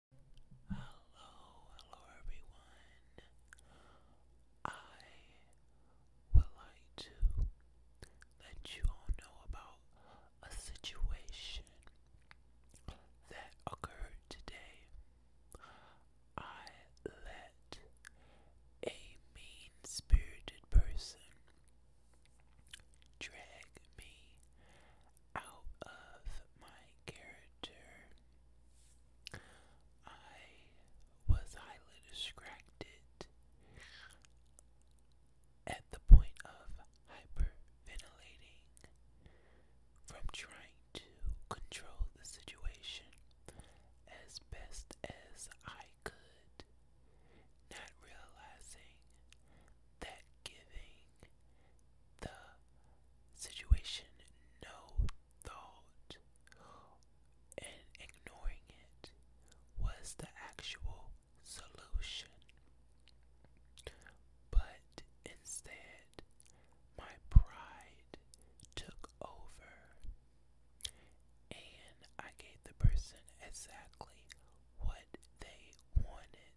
Hello, hello everyone. I would like to let you all know about a situation that occurred today. I let a mean spirited person drag me out of my character. I was highly distracted at the point of hyperventilating from trying to control the situation as best as I could, not realizing that giving the situation no thought and ignoring it was the actual solution. But instead, my pride took over, and I gave the person exactly what they wanted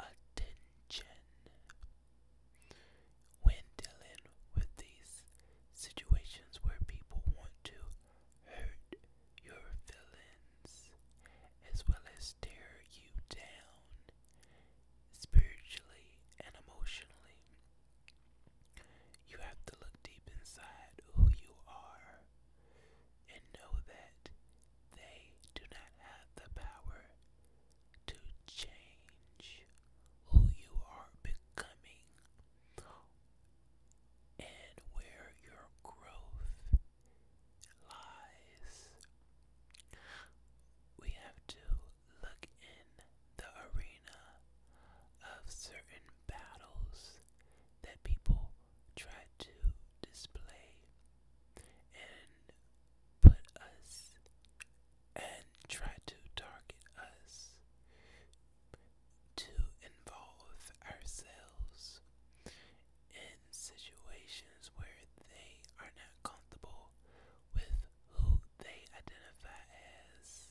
attention. When dealing with these situations where people want to hurt your feelings as well as tear you down spiritually and emotionally, you have to look deep inside who you are and know that they do not have the power to change who you are becoming and where your growth lies. We have to look in the arena of certain battles that people try to display and put us and try to target us to involve ourselves in situations where they are not comfortable with who they identify as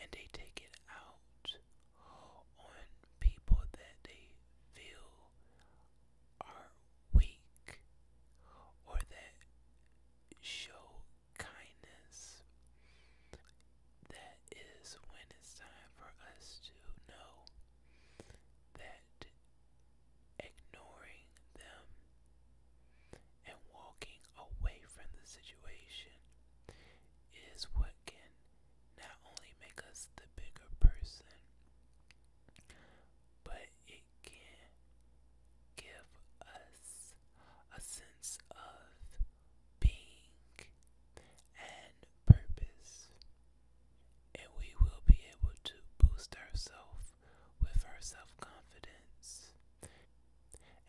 and they take it out on people that they feel are weak or that show kindness. That is when it's time for us to know that ignoring them and walking away from the situation is what can not only make us the bigger person, but it can give us a sense of being and purpose. And we will be able to boost ourself with our self confidence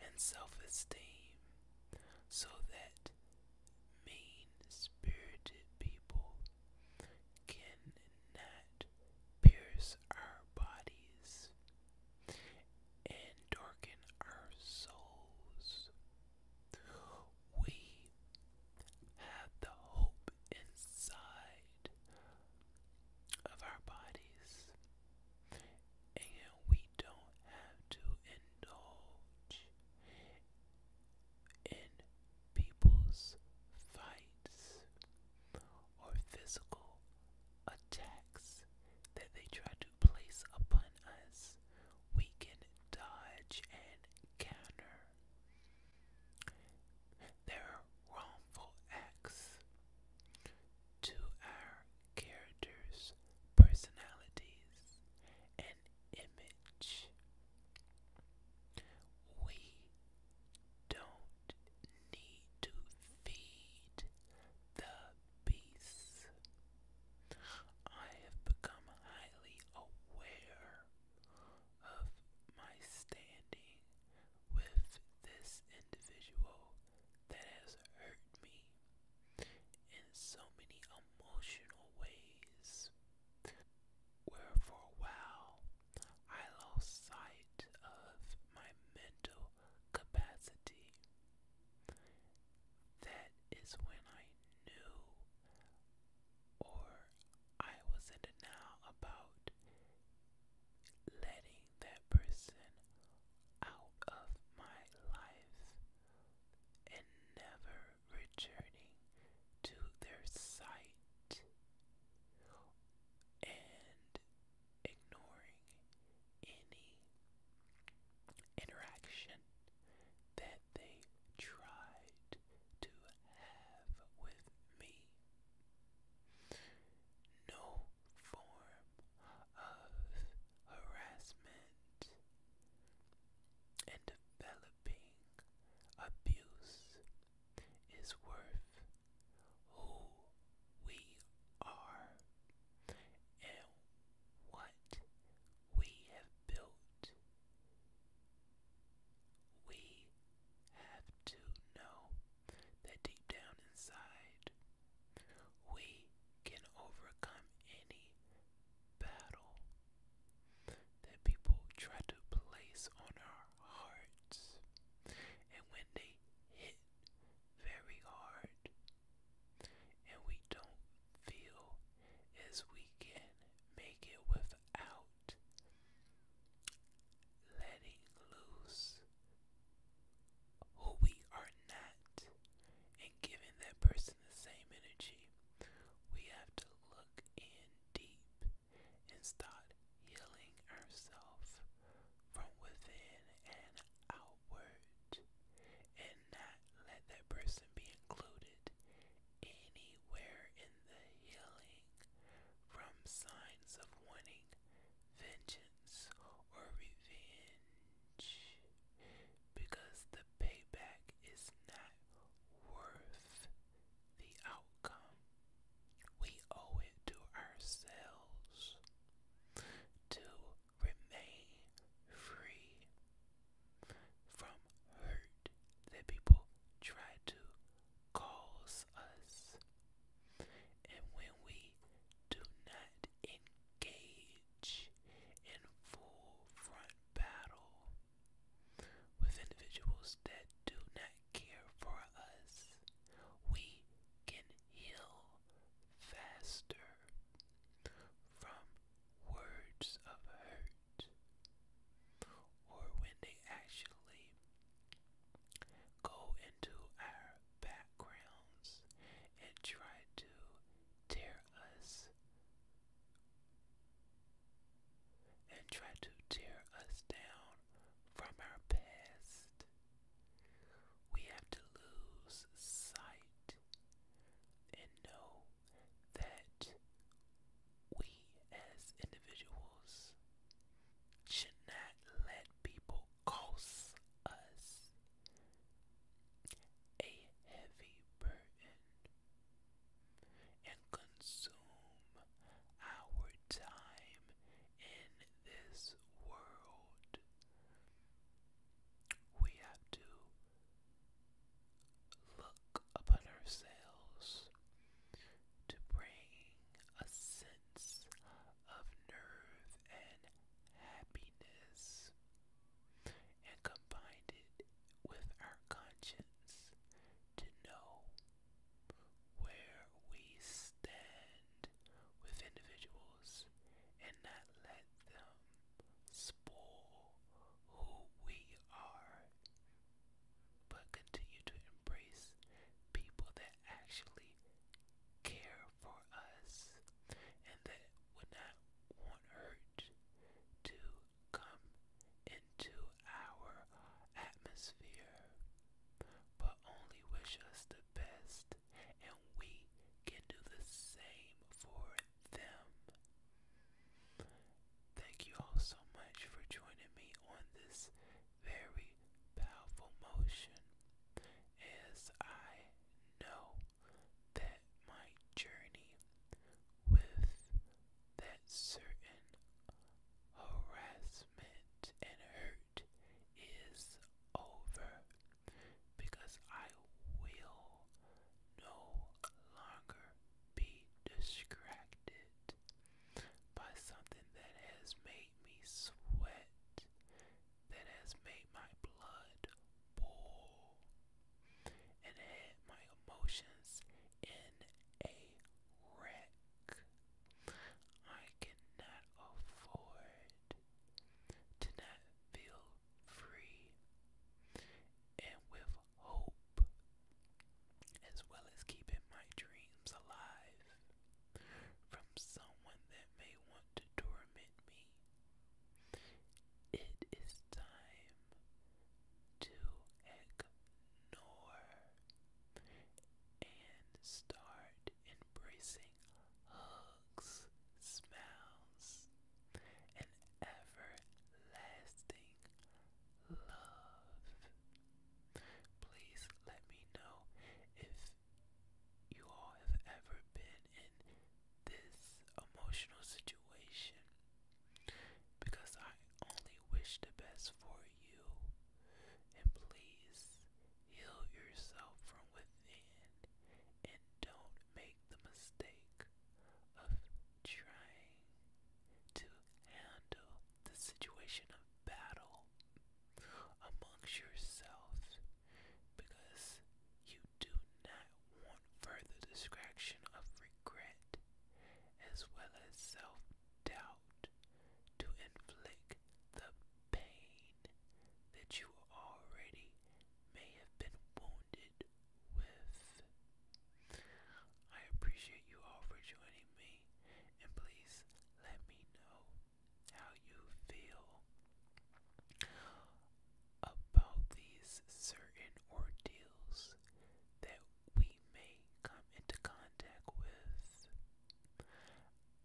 and self esteem so that mean spirited people cannot pierce our bodies and darken our souls. We have the hope inside of our bodies, and we don't have to indulge in people's fights or physical attacks that they try to place upon us, we can dodge and counter their wrongful acts to our characters, personalities, image. We don't need to feed the beasts. I have become highly aware of my standing with this individual that has hurt me in so many emotional ways, where for a while I lost sight of my mental capacity. That is when I knew, or I was in denial about letting that person out of my life and never returning to their sight and ignoring any interaction that they tried to have with me. No form of harassment, and developing abuse is worth who we are and what we have built. We have to know that deep down inside, we can overcome any battle that people try to place on our hearts. And when they hit very hard and we don't feel as we can make it without letting loose who we are not giving that person the same energy. We have to look in deep and start healing ourselves from within and outward and not let that person be included anywhere in the healing from signs of wanting vengeance or revenge because the payback is not worth the outcome. We owe it to ourselves to remain free from hurt that people try to cause us. And when we do not engage engage in full front battle with individuals that do not care for us. We can heal faster from words of hurt or when they actually go into our backgrounds and try to tear us and try to tear us down from our past. We have to lose sight and know that we as individuals should not let people cause us a heavy burden, and consume our time in this world. We have to look upon ourselves to bring a sense of nerve and happiness, and combined it with our conscience to know where we stand with individuals and not let them spoil who we are, but continue to embrace people that actually care for us and that would not want hurt to come into our atmosphere, but only wish us the best, and we can do the same for them. Thank you all so much for joining me on this very powerful motion as I know that my journey with that certain harassment and hurt is over because I will no longer be distracted by something that has made me sweat that has made my blood boil and had my emotions in a wreck. I cannot afford to not feel free and with hope, as well as keeping my dreams alive from someone that may want to torment me. It is time to ignore and start embracing hugs, smiles, and everlasting love. Please let me know if you all have ever been in this emotional situation because I only wish the best for you. And please heal yourself from within and don't make the mistake of trying to handle the situation of battle out amongst yourselves because you do not want further distraction of regret as well as self doubt to inflict the pain that you already may have been wounded with. I appreciate you all for joining me, and please let me know how you feel about these certain ordeals that we may come into contact with.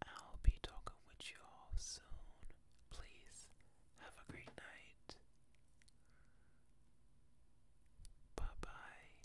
I'll be talking with you all soon. Please have a great night. Bye bye.